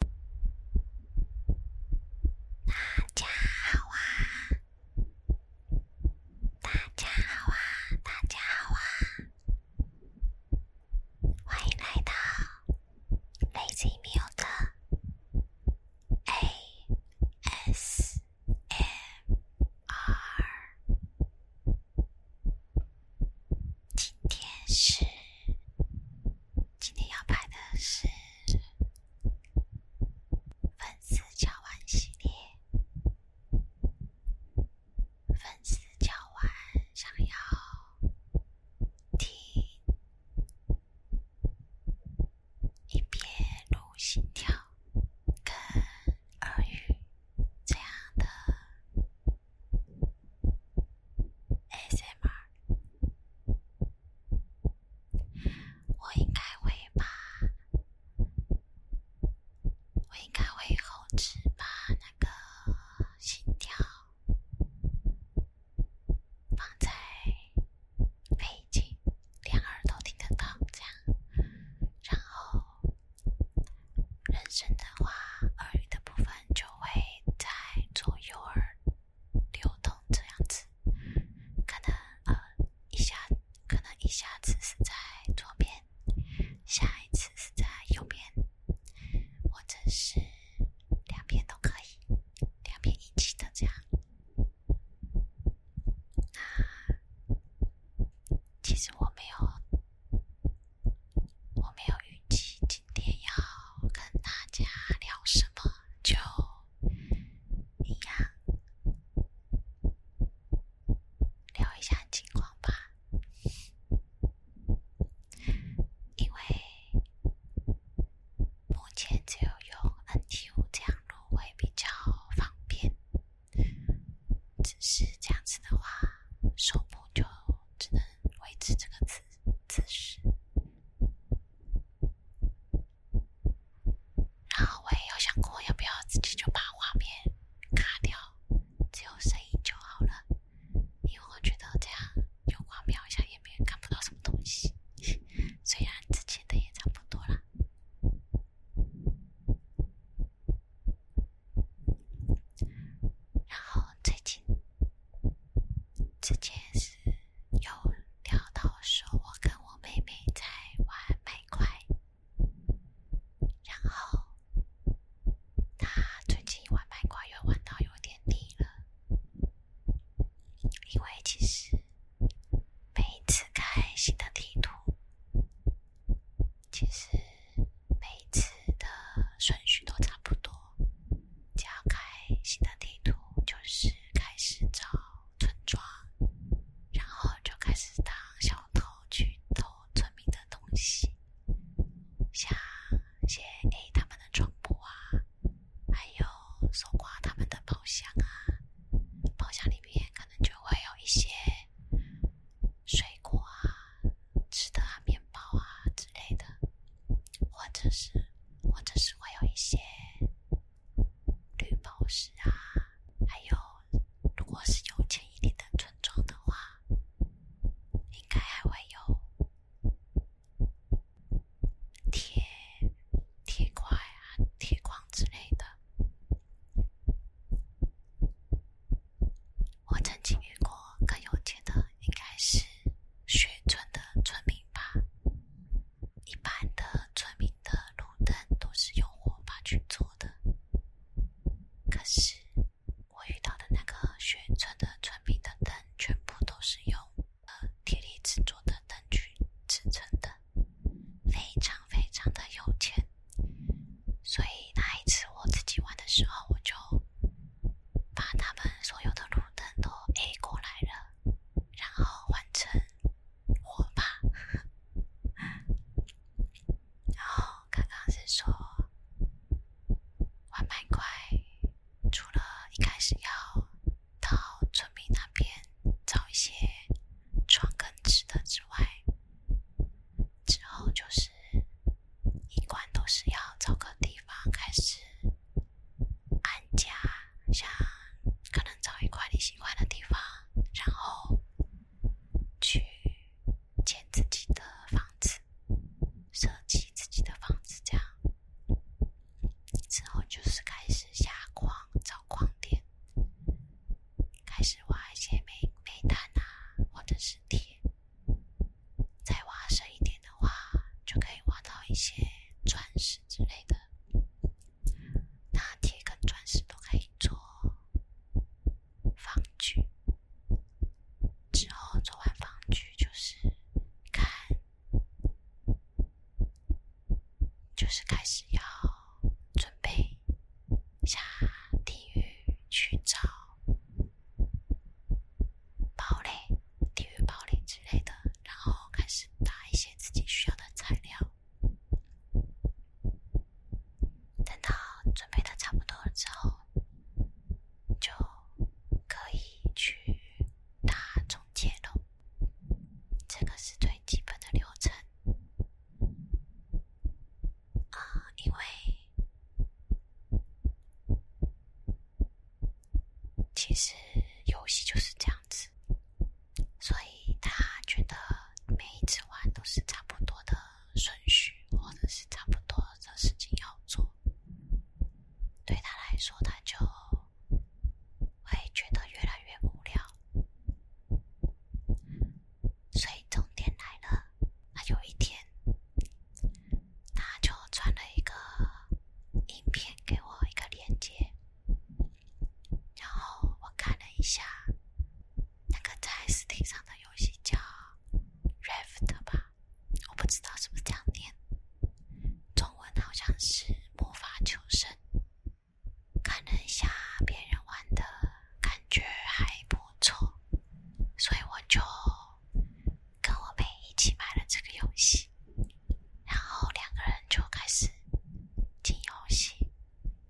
大家好啊！大家好啊！大家好啊！欢迎来到 Lazy Music A S M R。今天是，今天要拍的是粉丝交换系列。粉丝交换想要听一边录心跳跟耳语这样的。哎，小妹儿，我应该会把，我应该会后期把那个心跳放在背景，两耳都听得到，这样。然后人声的话，耳语的部分就会。在左右耳流动这样子，可能呃一下可能一下子是在左边，下一次是在右边，或者是两边都可以，两边一起的这样。那其实我没有。我没有预计今天要跟大家聊什么，就一样聊一下近况吧。因为目前只有用 NT 五这样录会比较方便，只是这样子的话，手部就只能。维持这个姿姿势，然后我也有想过要不要自己就把画面卡掉，只有声音就好了，因为我觉得这样有画面一下也没有看不到什么东西，虽然之前的也差不多了。然后最近之前是有聊到说，我跟我妹妹在玩麦块，然后她最近玩麦块又玩到有点腻了，因为其实每一次开新的地图。其实每次的顺序都差不多。只要开新的地图，就是开始找村庄，然后就开始当小偷去偷村民的东西，像些 A 他们的床铺啊，还有搜刮他们的宝箱啊，宝箱里面可能就会有一些。水果啊，吃的啊，面包啊之类的，或者是，或者是会有一些绿宝石啊，还有，如果是有钱一点的村庄的话，应该还会有铁、铁块啊、铁矿之类的。我曾经遇过更有钱的，应该是雪村的村民吧。一般的村民的路灯都是用火把去做的，可是我遇到的那个雪村的村民的灯，全部都是用呃铁犁制作的灯具制成的，非常非常的有钱。所以那一次我自己玩的时候，我就把他们所有的路灯都 A 过来了，然后换成火把。然后刚刚是说玩蛮怪，除了一开始要到村民那边找一些床跟吃的之外。之后就是，一贯都是要找个地方开始安家，像可能找一块你喜欢的地方，然后去建自己的房子，设计自己的房子，这样之后就是开始下矿找矿点。开始挖一些煤、煤炭啊，或者是铁。再挖深一点的话，就可以挖到一些钻石之类的。那铁跟钻石都可以做防具。之后做完防具，就是看，就是开始要。准备下地狱去找堡垒、地狱堡垒之类的，然后开始打一些自己需要的材料。等到准备的差不多了之后，就可以去打终结喽。这个是最基本的流程。啊，因为其实游戏就是这样子，所以他觉得每一次玩都是差不多的顺序，或者是差不多的事情要做，对他来说，他就会觉得越来越无聊。所以重点来了，他有一天，他就传了一个影片给我一个链接，然后我看了一下，那个在 Steam 上的游戏叫《raft》吧，我不知道是不是这样念，中文好像是《魔法求生》。看一下别人玩的感觉还不错，所以我就跟我妹一起买了这个游戏，然后两个人就开始进游戏。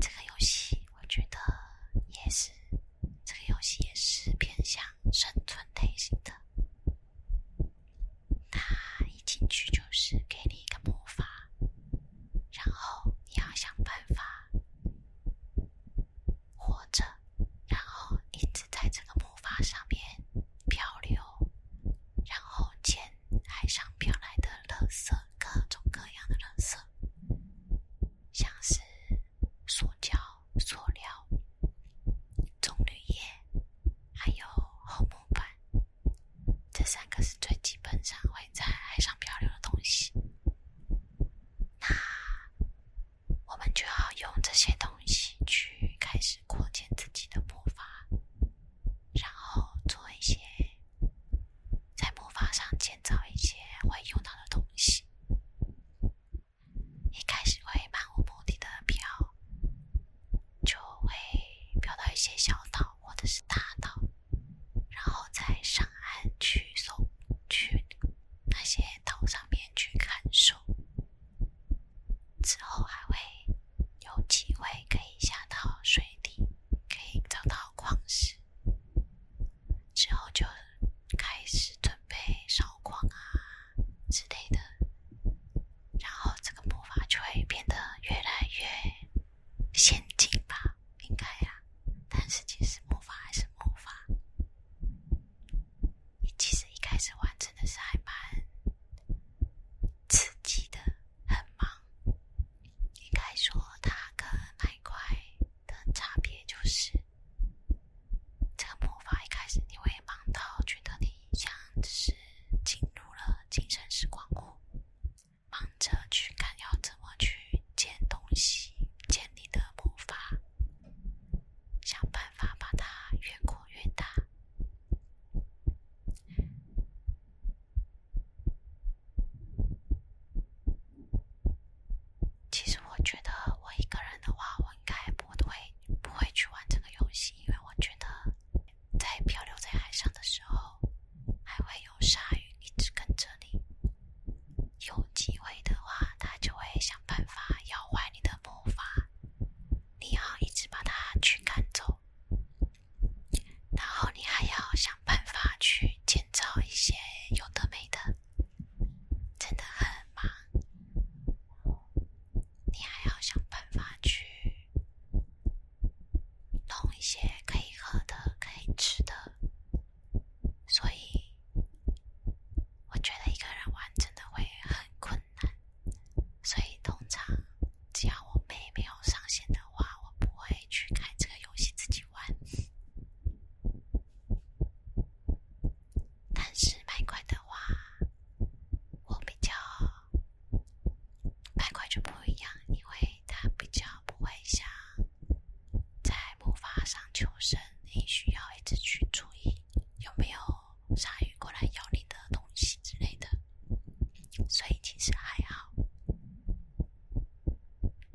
这个游戏我觉得也是，这个游戏也是偏向生存类型的。他一进去就是给你一个魔法。然后你要想办法活着，然后一直在这个魔法上面漂流，然后捡海上飘来的垃圾，各种各样的垃圾，像是塑胶、塑料、棕榈叶，还有厚木板。这三个是最基本上会在海上漂流的东西，那我们就要用这些东西去开始扩建自己的魔法，然后做一些在魔法上建造一些会用到的东西。一开始会漫无目的的飘，就会飘到一些小岛。或者是大岛，然后再上岸去搜，去那些岛上面去看守。之后还会有机会可以下到水底，可以找到矿石。之后就开始准备烧矿啊之类的，然后这个魔法就会变得越来越。陷阱吧，应该呀。但是其实魔法还是魔法。其实一开始完成的是还蛮刺激的，很忙。应该说它跟那一块的差别就是，这个魔法一开始你会忙到觉得你像是进入了精神时光屋。忙着去看要怎么去捡东西，捡你的魔法，想办法把它越扩越大。其实我觉得我一个人的话，我应该不会不会去玩这个游戏，因为我觉得。在漂流在海上的时候，还会有鲨鱼一直跟着你。有机会的话，它就会想办法咬坏你的魔法，你要一直把它驱赶走。然后你还要想办法去建造一些有的没的，真的很忙。你还要想办法去。弄一些可以喝的、可以吃的，所以我觉得一个人玩真的会很困难。所以通常，只要我妹没有上线的话，我不会去开这个游戏自己玩。但是卖款的话，我比较。外观就不一样，因为它比较不会像在木筏上求生，你需要一直去注意有没有鲨鱼过来咬你的东西之类的，所以其实还好，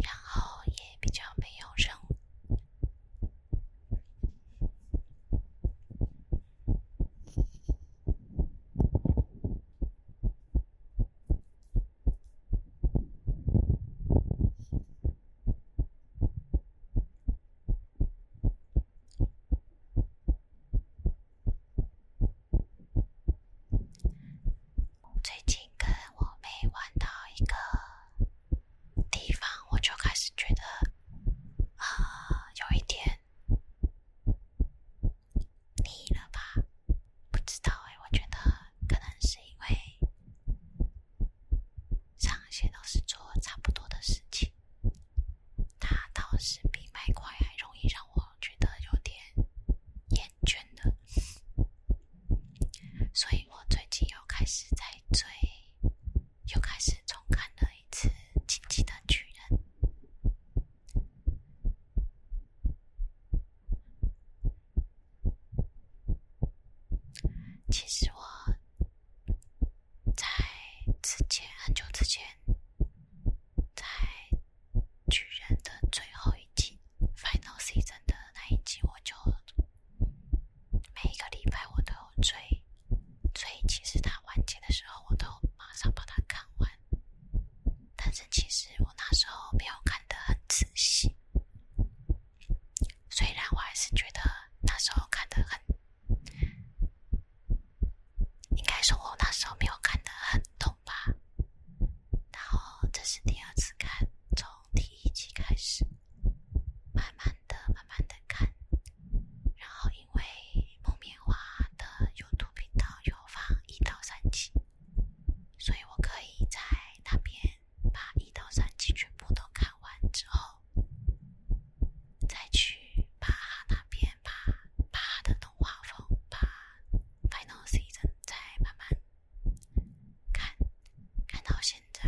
然后也比较没有任务。最近跟我妹玩到一个地方，我就开始觉得啊，有一点。腻了吧？不知道哎，我觉得可能是因为上些都是做差不多的事情，它倒是比买块还容易让我觉得有点厌倦的，所以我最近又开始在追，又开始重看了。一次紧急的巨人。其实我在之前很久之前，在巨人的最后一集 f i n a l Season） 的那一集，我就每一个礼拜我都有追。所以其实它完结的时候，我都马上把它看完。但是其实我那时候没有看得很仔细，虽然我还是觉得那时候看得很……应该说，我那时候没有看得很懂吧。然后这是第二次看，从第一集开始，慢慢的、慢慢的看。然后因为木棉花的 YouTube 频道有放一到三集，所以我可以在那边把一到三集全部都看完之后，再去把那边把巴的动画风把 Final Season 再慢慢看，看到现在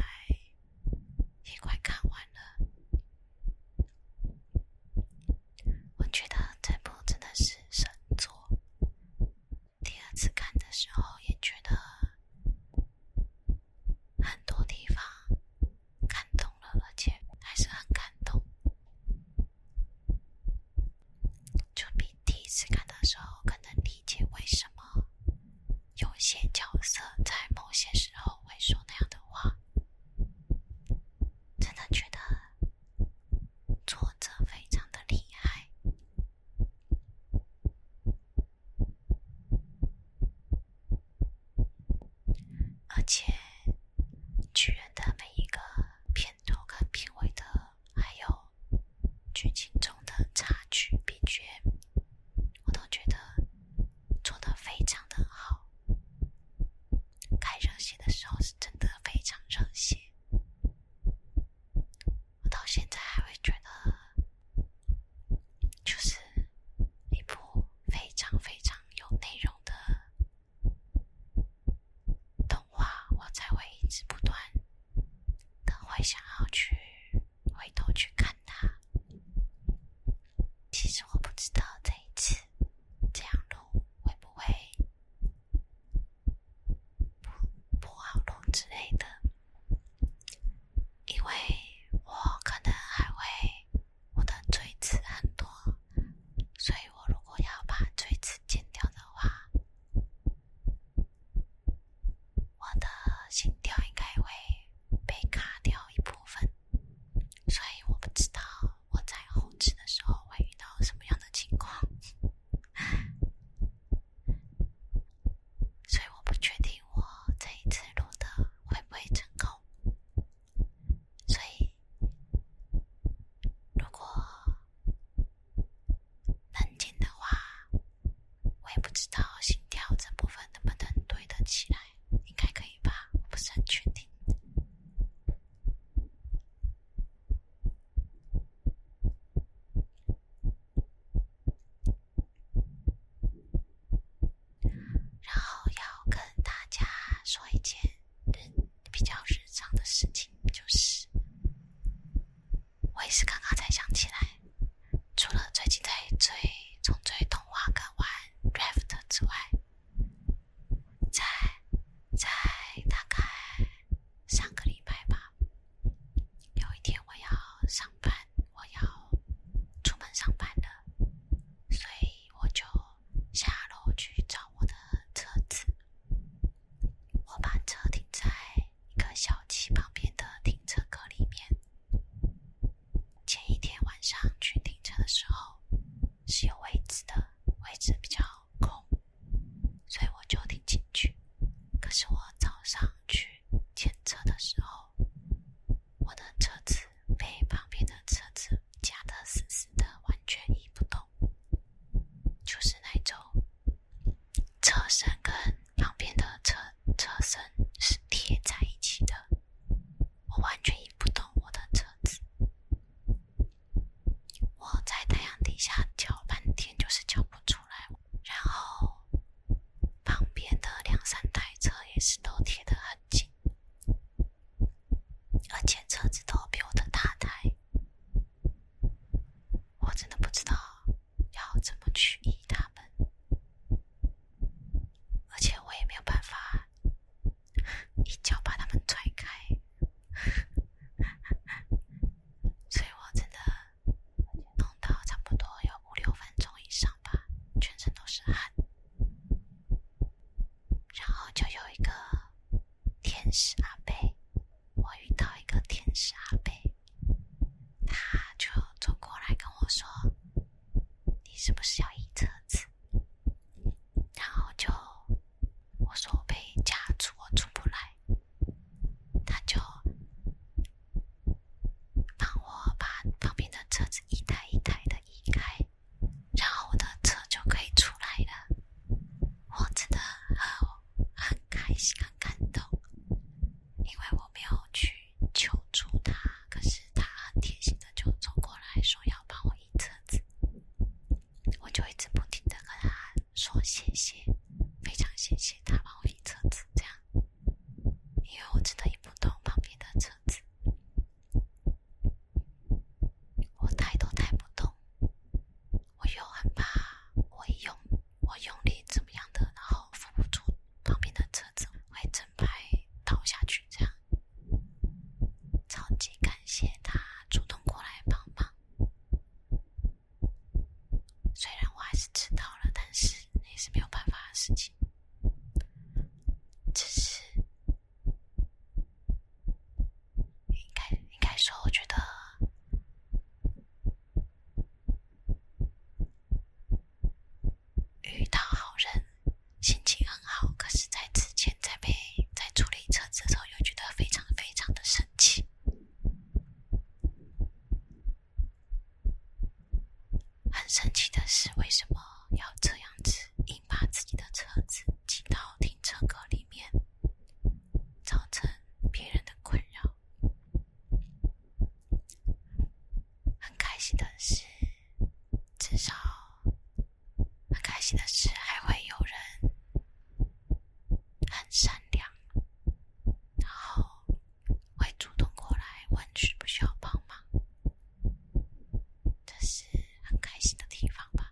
也快看完了。我觉得这部真的是神作。第二次看的时候也觉得很多地方看懂了，而且还是很感动。就比第一次看的时候更能理解为什么有些角色在某些时候会说那样的话。真的觉得作者非常的厉害，而且，居然他们一个片头跟片尾的，还有剧情中的插曲、配角。我都觉得做得非常的好，开热血的时候是真的非常热血。我到现在还会觉得，就是一部非常非常有内容的动画，我才会一直不断的会想要去。回头去看他，其实我不知道这一次这样弄会不会不不好弄之类的，因为我可能还会我的锥子很多，所以我如果要把锥齿剪掉的话，我的心跳应该会被卡掉一部分。所以我不知道我在后期的时候会遇到什么样的情况，所以我不确定我这一次录的会不会成功。所以，如果能进的话。我也不知道心跳这部分能不能对得起来，应该可以吧，我不是很确定。然后要跟大家说一件人比较日常的事情，就是我也是刚刚才想起来。除了最近在追、从追《童话梗玩》《raft》之外，在在大概上个礼拜吧，有一天我要上班，我要出门上班的，所以我就下楼去找我的车子。我把车停在一个小区旁边的停车格里面。前一天晚上去停车的时候是有位置的，位置比较空，所以我就停进去。可是我早上去检车的时候，我的车子被旁边的车子夹得死死的，完全移不动，就是那种车身跟。旁边的车车身是贴在一起的，我完全移不动我的车子。我在太阳底下叫半天，就是叫不出来。然后旁边的两三台车也是都贴得很紧，而且车子都比我的大台。我真的不知道。要怎么去医他们？而且我也没有办法一脚把他们踹开，所以我真的弄到差不多有五六分钟以上吧，全身都是汗。然后就有一个天使阿贝，我遇到一个天使阿贝。他就走过来跟我说：“你是不是要移车子？”然后就我说：“我被夹住，我出不来。”他就帮我把旁边的车子一台一台的移开，然后我的车就可以出来了。我真的很。很开心，很感动，因为我没有去求助他，可是他很贴心的就走过来，说要帮我移车子，我就一直不停的跟他说谢谢，非常谢谢他帮我移车子，这样，因为我真的移不懂旁边的车子，我抬都抬不动，我又很怕会用。我用力怎么样的，然后扶不住旁边的车子，会整排倒下去，这样。超级感谢他主动过来帮忙，虽然我还是迟到了，但是也是没有办法的事情。只是，应该应该说，我觉得。遇到好人，心情很好。可是，在之前在被在处理车子的时候，又觉得非常非常的生气。很生气的是，为什么要这样子硬把自己的车子挤到停车格里面，造成别人的困扰？很开心的是，至少很开心的是，还会有人很善良，然后会主动过来问需不需要帮忙。这是很开心的地方吧。